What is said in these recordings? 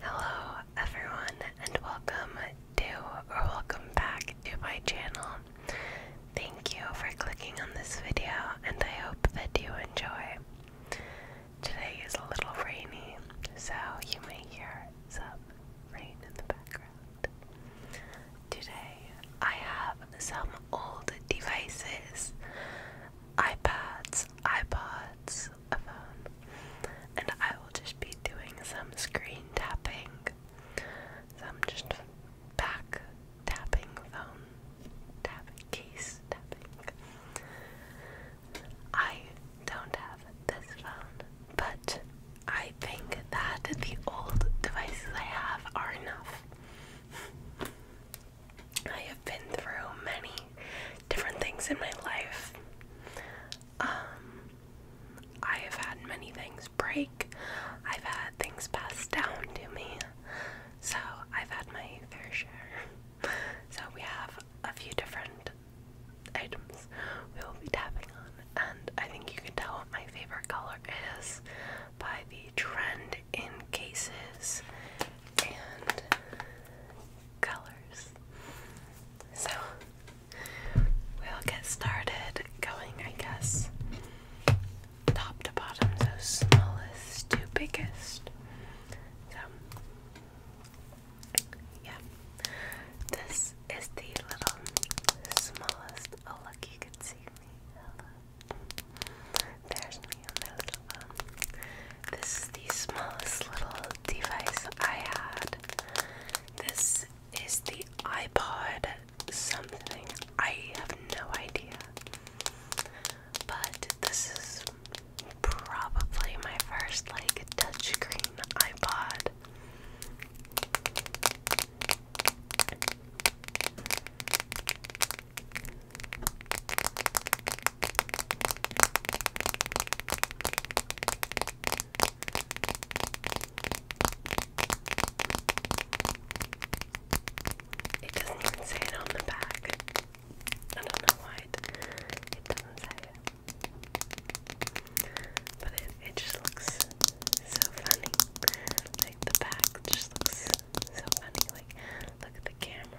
Hello everyone and welcome to or welcome back to my channel. Thank you for clicking on this video and I hope that you enjoy. Today is a little rainy, so you may hear some rain in the background. Today I have some old devices iPads, iPods, a phone, and I will just be doing some screen tapping, some just back tapping, phone tapping, case tapping. I don't have this phone, but I think that the old devices I have are enough. I have been through many different things in my life. Um, I have had many things break, I've had things passed down to me, so I've had my fair share. So, we have a few different items we will be tapping on, and I think you can tell what my favorite color is by the trend in cases and colors. So we'll get started going, I guess, top to bottom, so smallest to biggest. So, yeah, this is the little smallest. Oh, look, you can see me. Hello. There's me on the um, this is the smallest little device I had. This is the iPod something. I have no idea. But this is probably my first like touchscreen iPod. It doesn't even say it on the back. I don't know why it, doesn't say it. But it, it just looks so funny. Like the back just looks so funny. Like, look at the camera.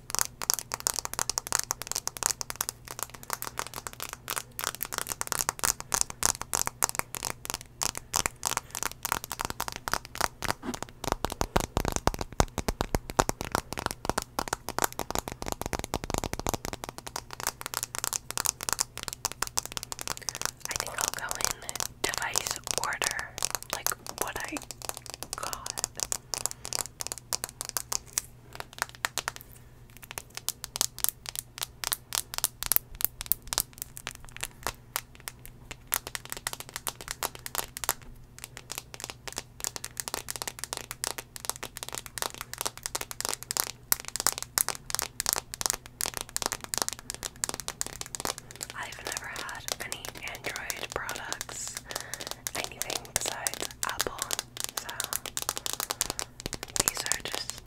I think I'll go in device order, like what I got. I've never had any Android products, anything besides Apple so these are just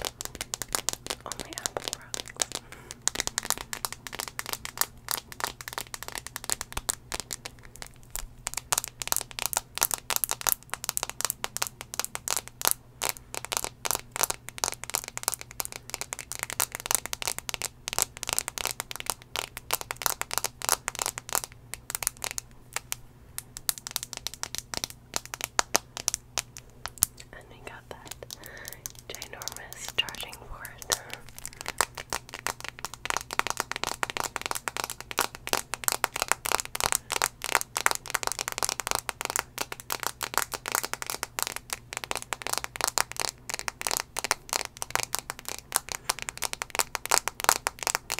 only Apple products. And we got that ginormous charging port.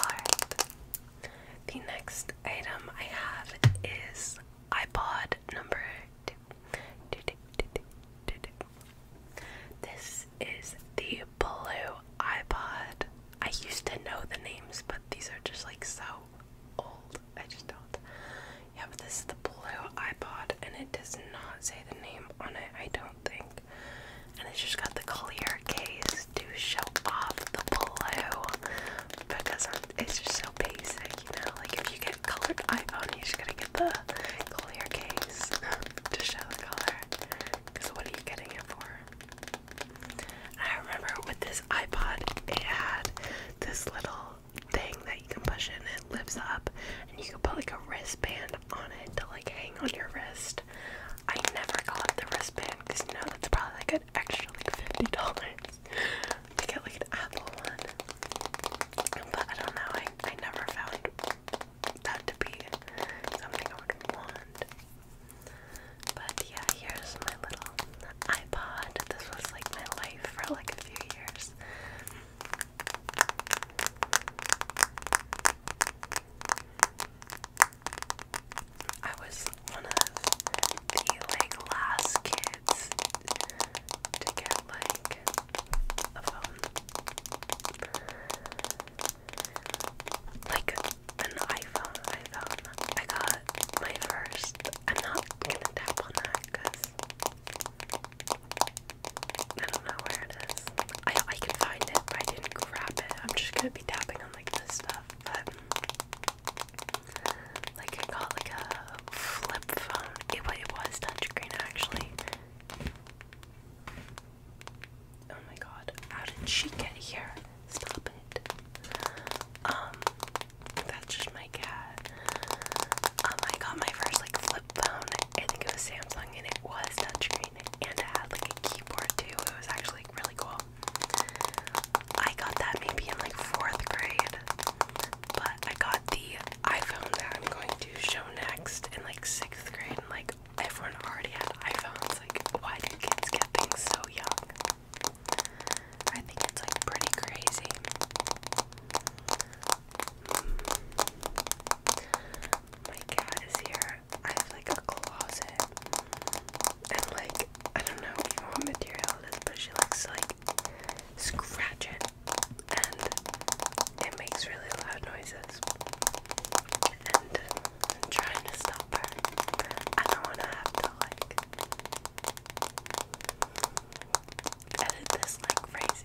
Alright. The next item I have is iPod number two. This is the blue iPod. I used to know the names, but these are just like so old. I just don't. Yeah, but this is the blue iPod, and it does not say the name on it, I don't think. And it's just got the clear case to show off the blue because it's just so basic, you know. Like if you get colored iPhone, you just gotta get the clear case to show the color. Because what are you getting it for? I remember with this iPod, it had this little thing that you can push in and it lifts up and you can put like a wristband on it to like hang on your wrist. I never got the wristband because you know that's probably like an extra like fifty dollars to get like an Apple one. But I don't know, I, I never found that to be something I would want. But yeah, here's my little iPod. This was like my life for like a few years. I was one of the like last kids to get like a phone. Like an iPhone, iPhone. I got my first. I'm not gonna tap on that because I don't know where it is. I I can find it, I didn't grab it. I'm just gonna be tapping on like this stuff, like I got like a flip phone. It, was touchscreen actually. Oh my god, how did she get here? Stop it. Um, that just my cat. Um, I got my first like flip phone. I think it was Samsung, and it was touchscreen, and it had like a keyboard too. It was actually like, really cool. I got that maybe in like fourth grade, but I got the iPhone that I'm going to show next in like sixth grade, and like everyone already had iPhones. Like, why do kids get things so young? I think it's like pretty crazy. My cat is here. I have like a closet. And like, I don't know even what material it is, but she likes like scratch it. And it makes really loud noises. And I'm trying to stop her. I don't want to have to like edit this like crazy.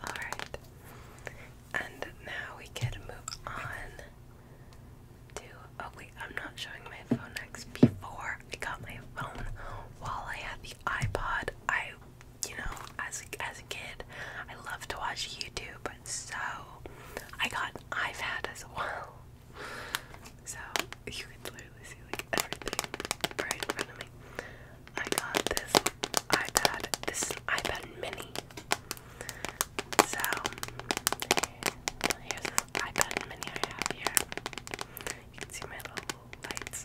Alright. And now we can move on to. Oh, wait, I'm not showing my phone next. Before I got my phone, while I had the iPod, I, you know, as a, as a kid, I loved to watch YouTube, so I got an iPad as well. So you can literally see like everything right in front of me. I got this iPad, this iPad mini. So here's this iPad mini I have here. You can see my little lights.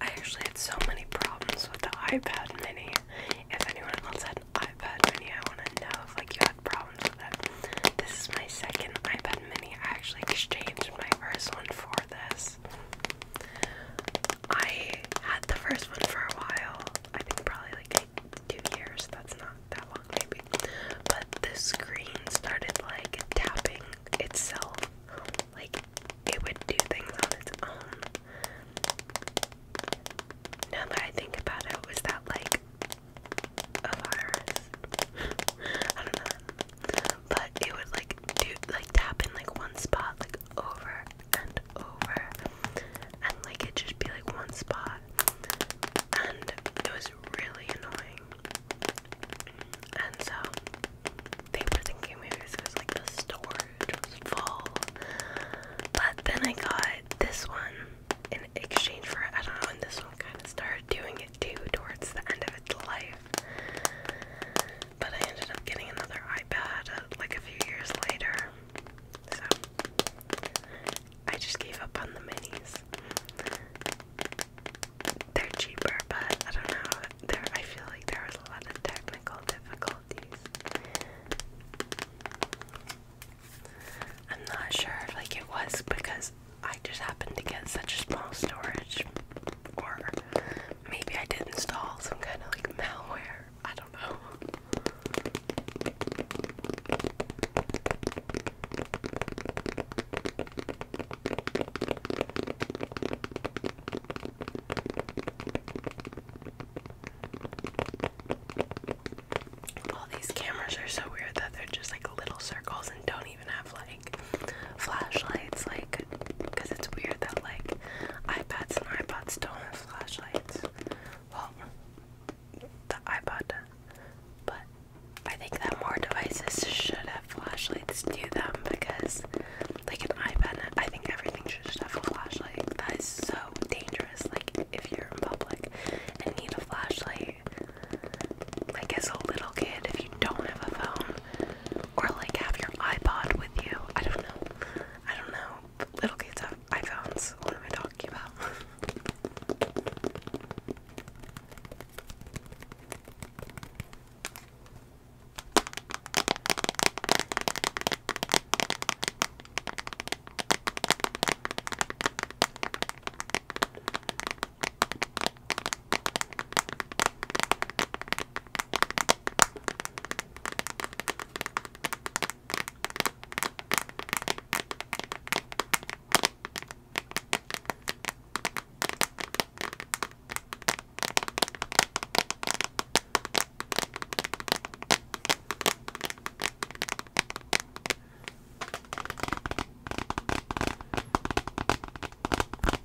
I actually had so many problems with the iPad mini. If anyone else had an iPad mini, I want to know if like you had problems with it. This is my second iPad mini. I actually exchanged my first one for this. I had the first one for a while. I think probably like two years. That's not that long, maybe. But the screen started like tapping itself, like it would do things on its own. Now that I think about it, was that like a virus? I don't know. But it would like do like tap in like one spot like over and over and like it just be like one spot and it was really annoying. And so they were thinking maybe this was like the storage was full. But then I got this one in exchange for I don't know, and this one kind of started doing it too towards the end of its life. But I ended up getting another iPad uh, like a few years later. So I just gave up on the minis. They're cheaper, but I don't know. There, I feel like there was a lot of technical difficulties. I'm not sure if like it was because I just happened to get such small storage, or maybe I did install some kind of like malware. I don't. All these cameras are so weird that they're just like little circles and don't even have like flashlights, like, because it's weird that like iPads and iPods don't have flashlights. Well, the iPod, but I think that more devices should have flashlights to them because, like an iPod, I think everything should have a flashlight. That is so dangerous. Like if you're in public and need a flashlight, like as a little kid, if you don't have a phone or like have your iPod with you, I don't know. I don't know little kids have iPhones. What am I talking about?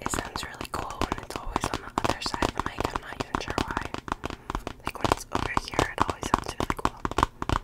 It sounds really cool when it's always on the other side of the mic. I'm not even sure why. Like when it's over here, it always sounds really cool.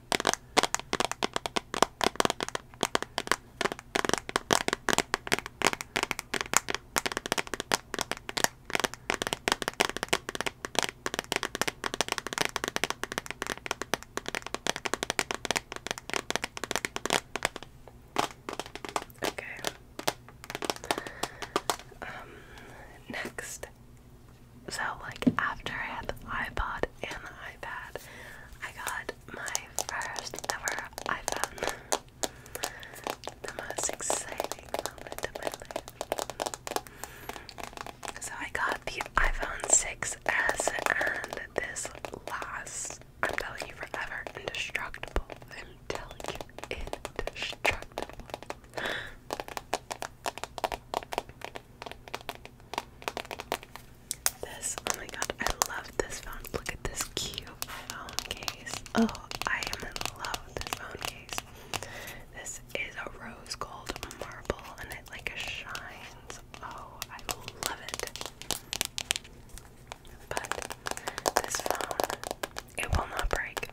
Okay. Um, next so, like, after I had the iPod and the iPad, I got my first ever iPhone. the most exciting moment of my life. So, I got the iPhone 6S, and this lasts, I'm telling you, forever. Indestructible. I'm telling you, indestructible. This, oh my god, I love this phone. Look at this cute phone case. Oh, I am in love with this phone case. This is a rose gold marble and it like shines. Oh, I love it. But this phone, it will not break.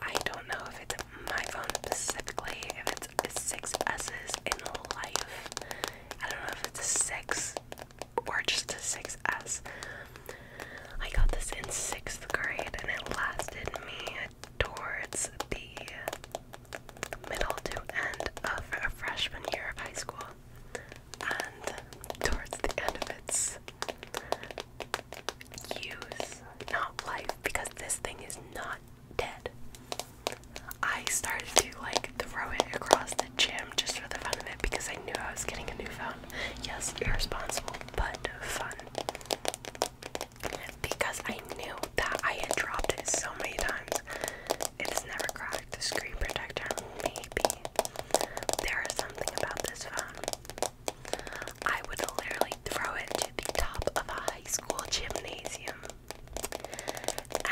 I don't know if it's my phone specifically, if it's six S's in life, I don't know if it's a six or just a six I got this in sixth grade and it lasted me towards the middle to end of a freshman year of high school and towards the end of its use, not life, because this thing is not dead. I started to like throw it across the gym just for the fun of it because I knew I was getting a new phone. Yes, irresponsible, but fun. Because I knew that I had dropped it so many times. It's never cracked. The screen protector, maybe. There is something about this phone. I would literally throw it to the top of a high school gymnasium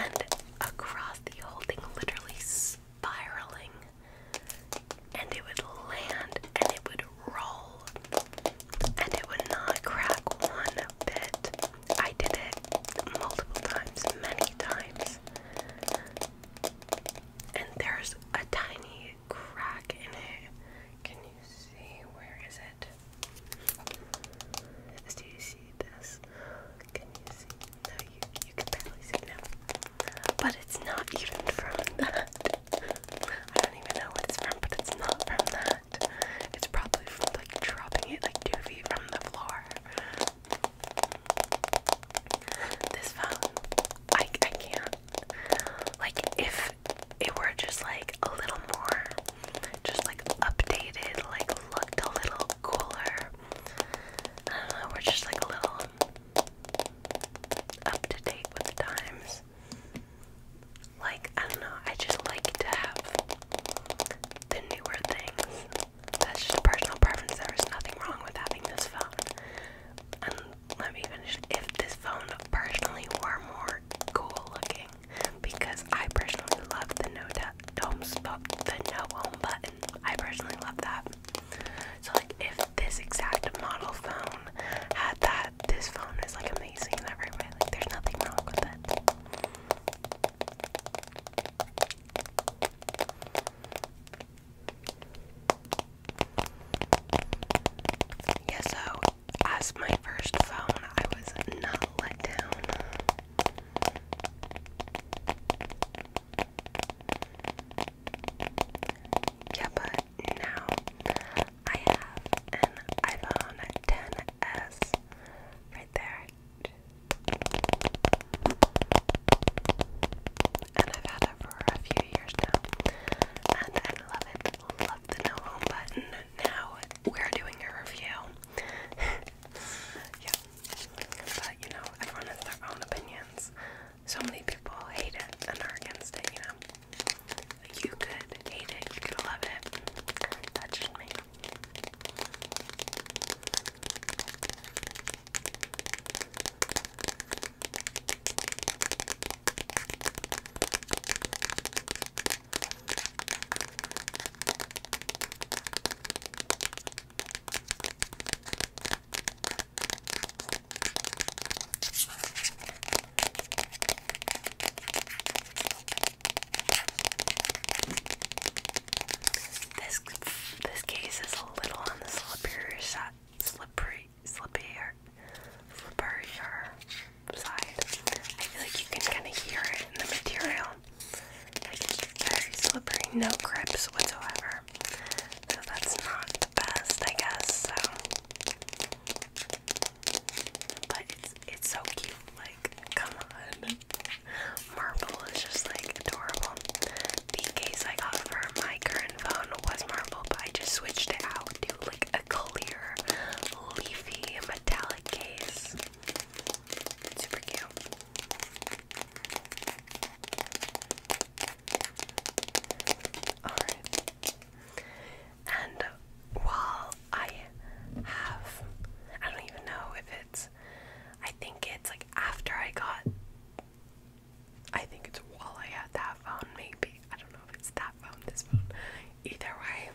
and across the whole thing, literally spiraling, and it would land and it would roll, and it would not crack one bit. I did it multiple times, many times, and there's a tiny crack in it. Can see. Where is it? Do you see this? Can you see? No, you you can barely see now. But it's not even from that. I don't even know what it's from, but it's not from that. It's probably from like dropping it like two feet from the floor. This phone, I I can't. Like if it were just like a little more just like updated, like looked a little cooler. I don't know, we're just like a little up to date with the times. Like, I don't know, I just like to have the newer things. That's just a personal preference. There is nothing wrong with having this phone. And let me finish. If this phone personally were more cool looking, because I personally love the no dome home the no home button. I personally love that. So like if this exact model phone had that, this phone is like amazing in every way. Like there's nothing wrong with it. Yes, so as my first phone, I was not let down. Yeah, but now I have an iPhone 10s right there. And I've had it for a few years now. And I love it, up the no home button. Now we're doing a review. yeah. But you know, everyone has their own opinions. So many people hate it and are against it, you know. You could hate it, you could love it. That's just me. This this case is a little on the slippery side, slippery, slippery, slippery side. I feel like you can kind of hear it in the material. it's very slippery, no grips whatsoever. So that's not the best, I guess. So, but it's so cute. Like, come on, marble is just like adorable. The case I got for my current phone was marble, but I just switched it out to like a clear, leafy, metallic case. Super cute. Alright. And while I have, I don't even know if it's, I think it's like after I got, I think it's while I had that phone, maybe. I don't know if it's that phone, this phone. Either way,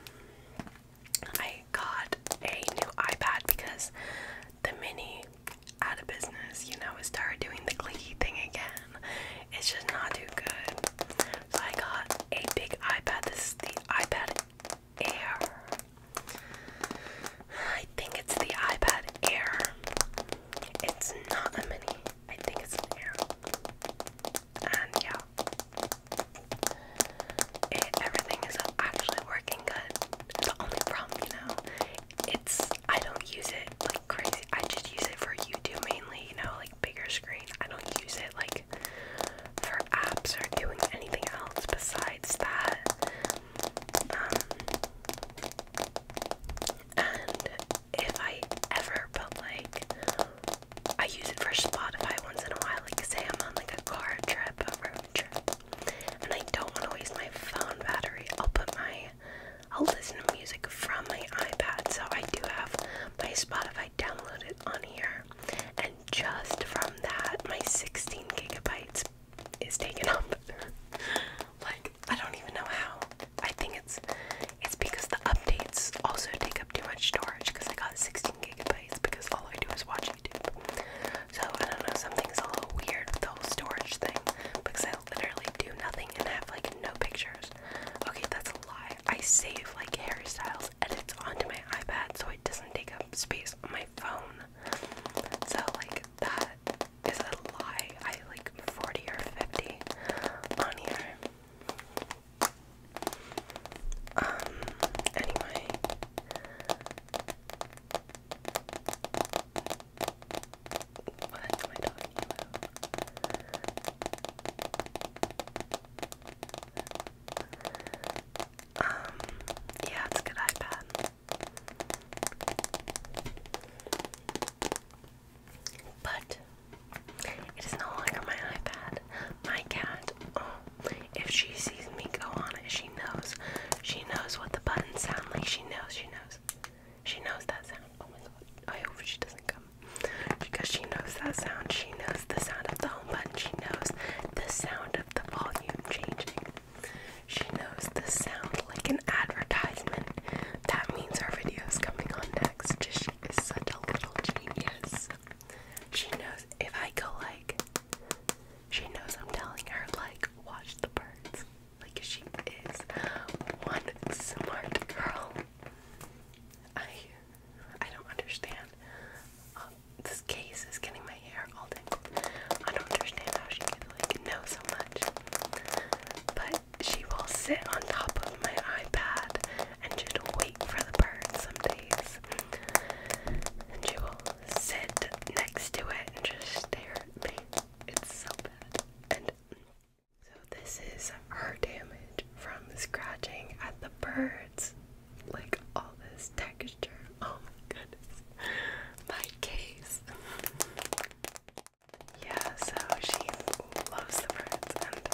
I got a new iPad because the mini out of business, you know, it started doing the clicky thing again. It's just not too good. So I got a big iPad. This is the iPad Air. I think it's the iPad Air. It's not a mini. I think it's Air and yeah, everything is actually working good. The only problem, you know, it's I don't use it like crazy. I just use it for YouTube mainly, you know, like bigger screen. I don't use it like for apps or doing anything else besides that. Um, and if I ever put like I use it for Spotify once in a while, like say I'm on like a car trip, a road trip, and I don't want to waste my phone battery. I'll put my, I'll listen to music from my iPad, so I do have my Spotify downloaded on here, and just from that, my 16 gigabytes is taken up. like I don't even know how. I think it's it's because the updates also take up too much storage because I got 16 gigabytes because all I do is watch YouTube. So I don't know, something's a little weird with the whole storage thing because I literally do nothing and have like no pictures. Okay, that's a lie. I save like Harry Styles edits onto my iPad so it doesn't take up space on my phone. So like that is a lie. I like 40 or 50 on here. Um, anyway. What am I Um, yeah, it's a good iPad. But it is no longer my iPad. My cat if she sees me go on it, she knows. She knows what the buttons sound like. She knows. She knows. She knows that sound. Oh my god! I hope she doesn't come because she knows that sound. She knows the sound of the home button. She knows the sound of the volume changing. She knows the sound like an advertisement. That means our video is coming on next. She is such a little genius. She knows if I go like she knows I'm telling her like watch the birds. Like she is one smart girl. I I don't understand. Uh, this case is getting my hair all day. I don't understand how she can like know so much. But she will sit on top of my iPad and just wait for the birds some days. And she will sit next to it and just stare at me. It's so bad. And so this is her damage from scratching at the birds. Like all this texture. Oh my goodness. My case. yeah, so she loves the birds and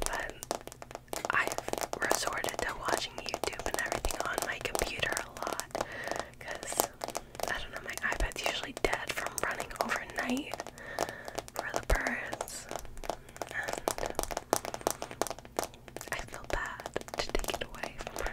but I've resorted to watching YouTube and everything on my computer a lot because I don't know, my iPad's usually dead from running overnight for the birds, and I feel bad to take it away from her.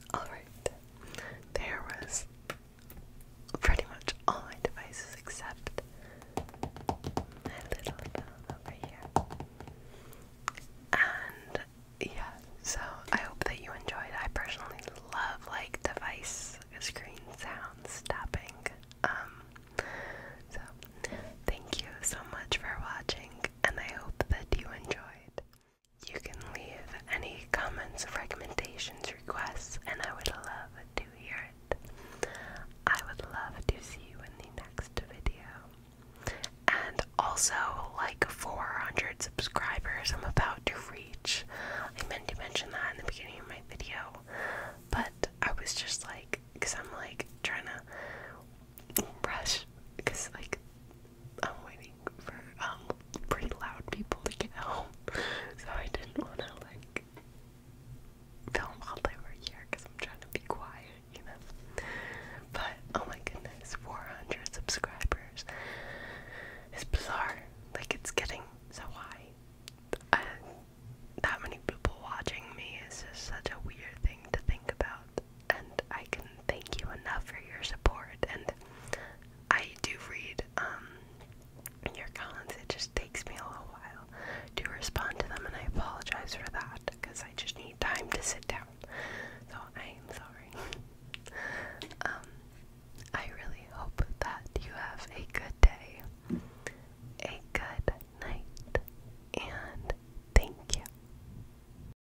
Alright, there was pretty much all my devices except my little phone over here. And yeah, so I hope that you enjoyed. I personally love like device screen sounds stopping. Um, so thank you so much for watching, and I hope that you enjoyed. You can leave any comments, recommendations, requests, and I would love to hear it. I would love to see you in the next video. And also, like 400 subscribers, I'm about to reach. I meant to mention that in the beginning of my video, but I was just like, because I'm like trying to rush, because like I'm waiting for um pretty loud people to get home, so I didn't want to like film while they were here because I'm trying to be quiet, you know. But oh my goodness, 400 subscribers is bizarre. Like it's getting so high. that many people watching me is just such a weird thing to think about and I can thank you enough for your support. And I do read um, your comments. It just takes me a little while to respond to them, and I apologize for that because I just need time to sit down. So I am sorry. um, I really hope that you have a good day, a good night, and thank you.